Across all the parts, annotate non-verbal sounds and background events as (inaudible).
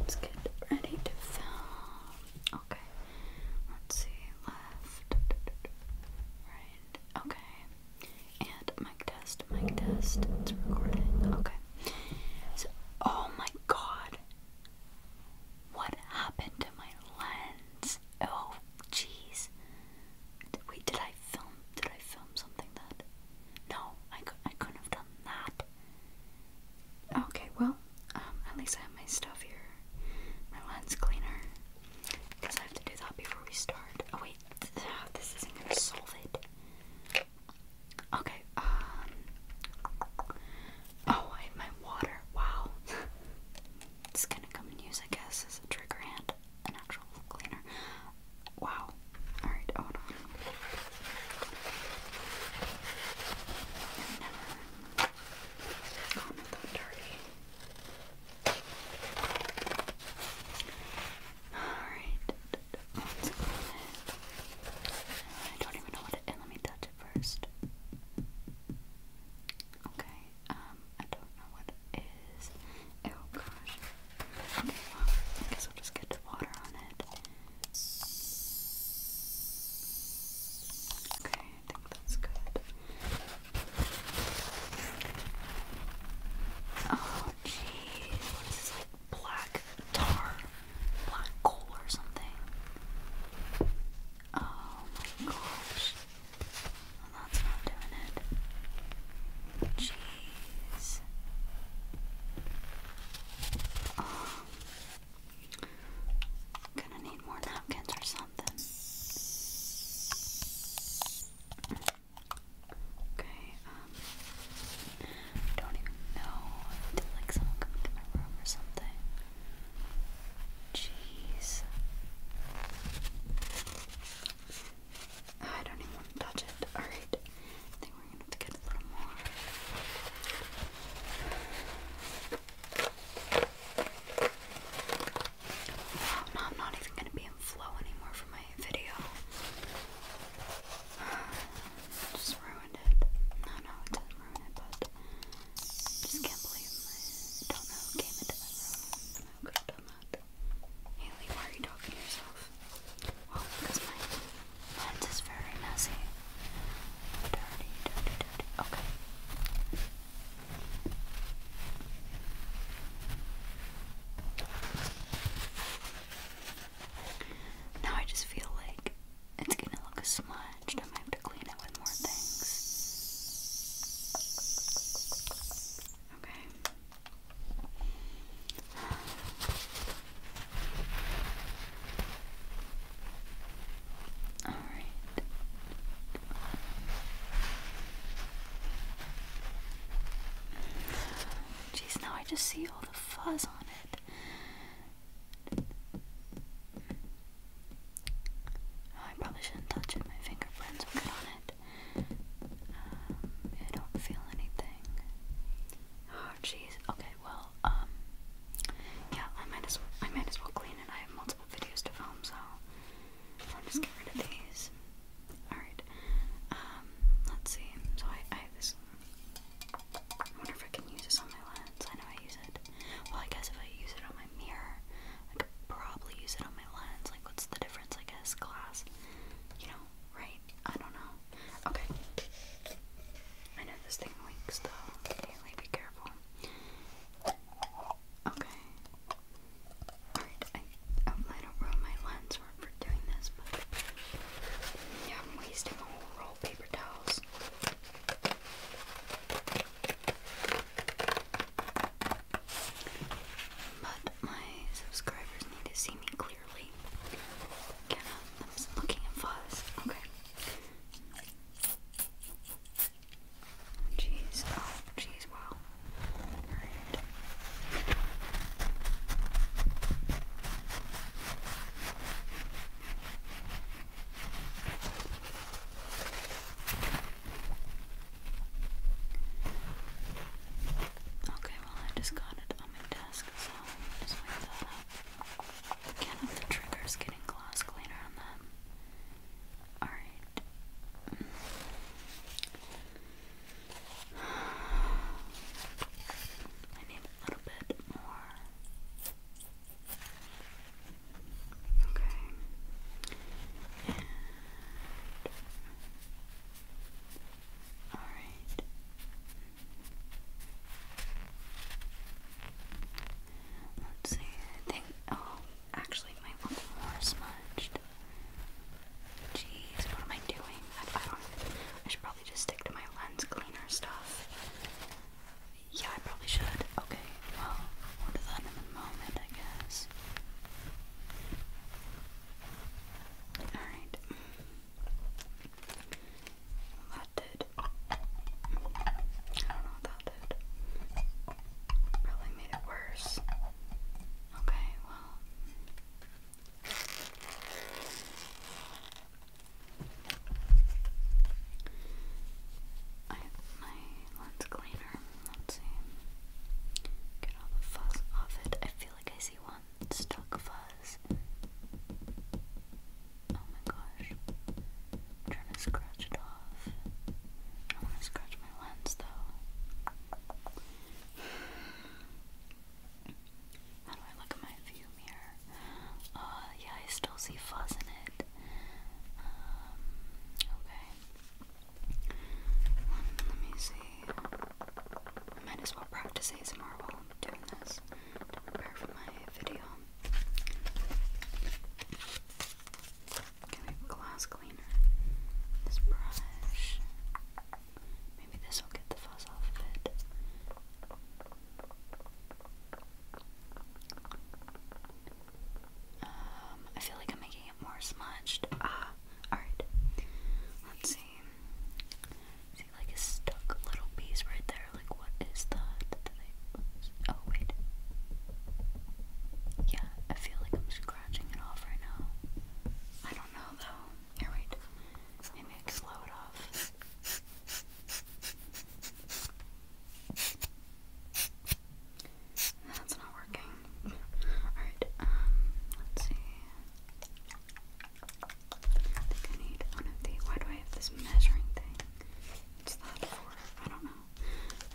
Let's get ready to film. Okay. Let's see. Left. Right. Okay. And mic test. Mic test. It's recording. Okay. So, oh my god. What happened to my lens? Oh, jeez. Wait, did I film? Did I film something that? No, I, I couldn't have done that. Okay, well, um, at least I have my stuff here. My lens cleaner. Because I have to do that before we start. Oh, wait, this isn't going to solve it. Okay, um. Oh, I have my water. Wow. (laughs) it's gonna come in use, I guess, as a trigger hand, an actual cleaner. Wow. Alright, hold on. i never gone with that dirty. Alright. Let's go I don't even know what it is. Let me touch it first. Okay, um, I don't know what it is. Oh gosh. I guess I'll just get water on it. Okay, I think that's good. Oh jeez, what is this like black tar? Black coal or something? Oh my gosh. that's not doing it. Jeez is gonna need more napkins or something. Okay, um, don't even know. like someone come into my room or something? Jeez. I don't even want to touch it. Alright. I think we're gonna get a little more. Wow, I'm not even gonna be in flow anymore for my video. (sighs) Just ruined it. No, no, it didn't ruin it, but I just can't believe I don't know who came into my room. I could have done that. Haley, why are you talking to yourself? Well, because my lens is very messy. Okay. Now I just feel like it's gonna look smudged. I might have to clean it with more things. Okay. All right. Jeez, now I just see all the fuzz on it. I probably shouldn't touch it. My fingerprints are on it. I don't feel anything. Oh jeez. Okay, well, um yeah, I might as well I might as well clean it. I have multiple videos to film, so I'll just get rid of these. Alright. Um, let's see. So I I have this I wonder if I can use this on my lens. I know I use it. Well I guess if I use it on my mirror, I could probably use it on my lens. Like what's the difference I guess? Glass. You know, right? I don't know. Okay. I know this thing leaks though. be careful. Okay. Alright, I, um, I don't ruin my lens for, doing this, but yeah, I'm wasting a whole roll paper towels. But my subscribers need to see me clearly. Cannot, I'm just looking at fuzz. Okay. Jeez, oh, jeez, wow. Alright. Okay, well, I just got it on my desk, so just wake that up. Can't have the triggers getting gloss cleaner on them. Alright. (sighs) I need a little bit more. Okay. All right. Let's see. I Oh, actually, it might look more smudged. Jeez, what am I doing? I, should probably just stick to my lens cleaner stuff. Yeah, I probably should. Okay, well, we'll a moment, I guess. Alright. That did. I don't know what that did. Probably made it worse. Okay, well. I have my lens cleaner let's see. Get all the fuzz off it. I feel like I see one stuck fuzz. Oh my gosh. trying to scratch it off. I want to scratch my lens though. How do I look at my view mirror? Uh, yeah, I still see fuzz in it. Um, okay. Let me see. I might as well practice ASMR while I'm doing this to prepare for my video. glass cleaner. This brush. Maybe this will get the fuzz off it. Um, I feel like I'm making it more smudged. Ah, alright. Let's see. like a stuck little piece right there. Like, what is that? Oh, wait. Yeah, I feel like I'm scratching it off right now. I don't know though. Here, wait. Maybe I can it off. That's not working. Alright, um, let's see. I think I need one of the. Why do I have this measuring thing? What's that for? I don't know.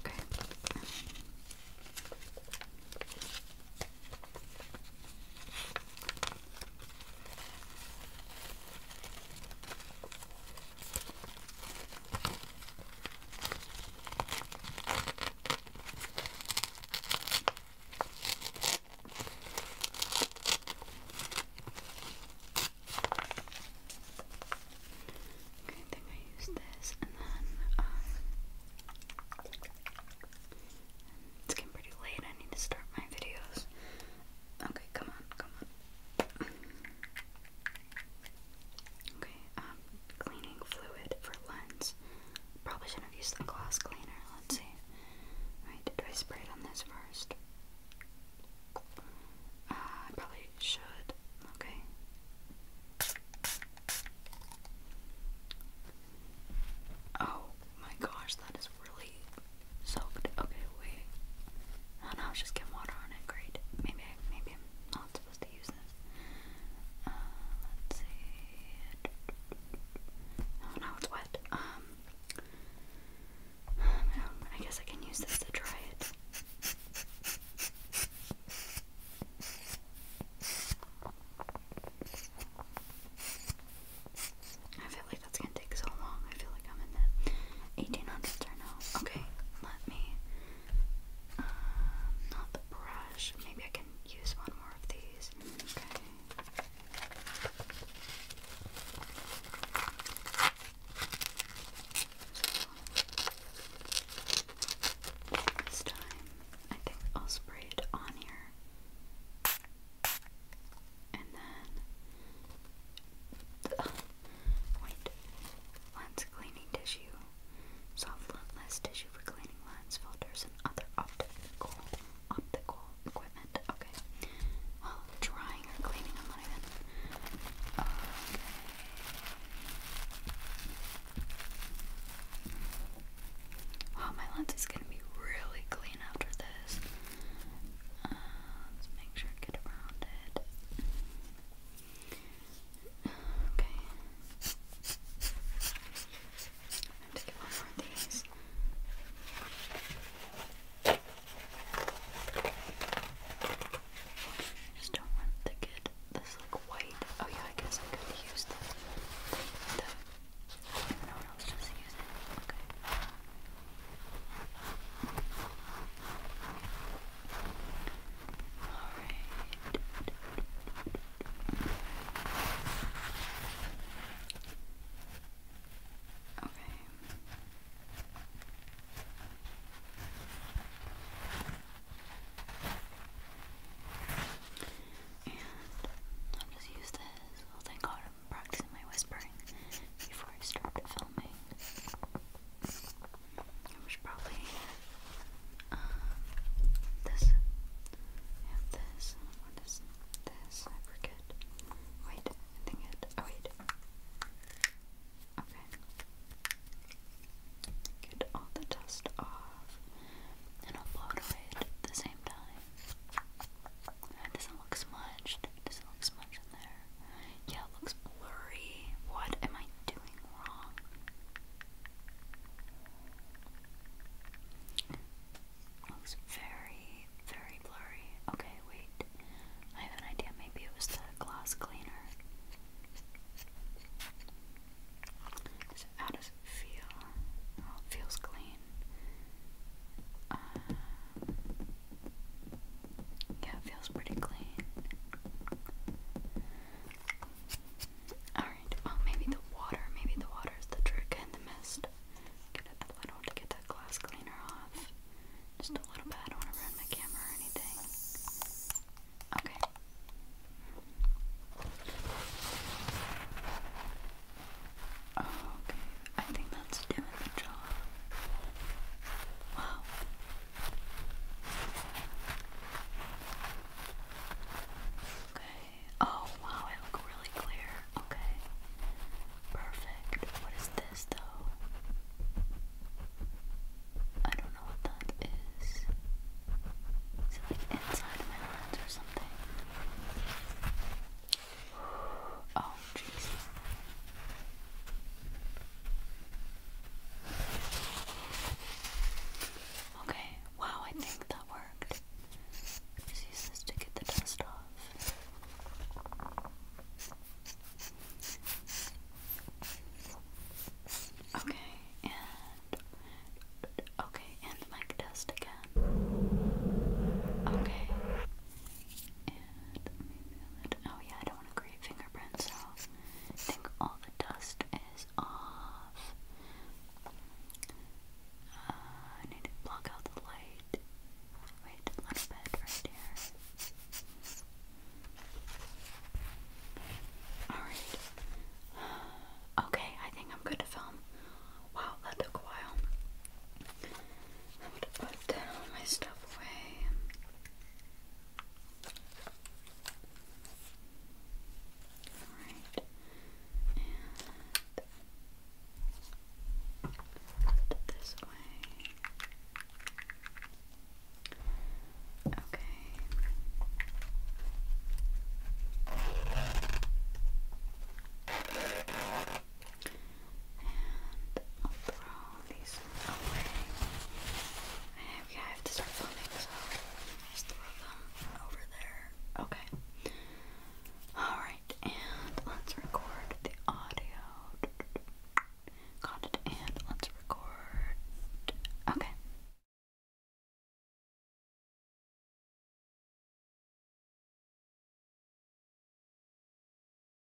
Okay. Okay, I think I use this and then um, it's getting pretty late, I need to start my videos. Okay, come on, come on. Okay, um, cleaning fluid for lens. Probably shouldn't have used the glass cleaner. Let's see. Right, do I spray it on this first? Uh, I probably should. Okay. Oh my gosh, that is really soaked. Okay, wait. Oh no, just get water on it. Great. Maybe, maybe not. Uh, let's see. Oh no, it's wet. Um, um, I guess I can use this to dry it. I feel like that's gonna take so long. I feel like I'm in the 1800s right now. Okay, let me uh, not the brush. Maybe I can use one more of these. Okay. this time, I think I'll spray it on here. And then, oh, wait, lens cleaning tissue. Soft lens tissue for cleaning lenses, filters, and other optical optical equipment. Okay. drying or cleaning, Okay. Wow, oh, my lens is gonna be really clean after this. Uh, let's make sure I get around it. Okay. i just get one more of these. Just don't want to get this like white. Oh yeah, I guess I could use the no one else just use it. Okay. Alright. Okay. And I'll just use this. Oh, thank God I'm practicing my whispering before I start filming which probably um, this. this. this? I forget. Wait, I think it. Oh wait. Okay. Get all the dust off, and i at the same time. It doesn't look smudged. It doesn't look smudged in there. Yeah, it looks blurry. What am I doing wrong? looks very, very blurry. Okay, wait. I have an idea. Maybe it was the glass cleaner. So how does it feel? Oh, feels clean. Uh, yeah, it feels pretty clean. Alright, well, oh, maybe the water, maybe the water is the trick and the mist. Get a little to get that glass cleaner off. Just a little bit, I don't want to ruin my camera or anything. Okay. Okay, I think that's doing the job. Wow, Okay. Oh wow, it look really clear. Okay. Perfect. What is this though? I don't know what that is. Is it like inside my lens or something? Oh, jeez. Okay, wow, I think that worked. Just use this to get the dust off. Okay, and okay, and mic test again. Okay, and Oh yeah, do fingerprints, I think all the dust is off. Uh, I need to block out the light. Wait a little bit right here. Alright. (sighs) Okay, I think I'm good to film. Wow, that took a while. I'm gonna put that all my stuff away. Alright. And put this away. Okay. And i have to start filming, so I'll over there. Okay. Alright, and let's record the audio. Got it, and let's record. Okay.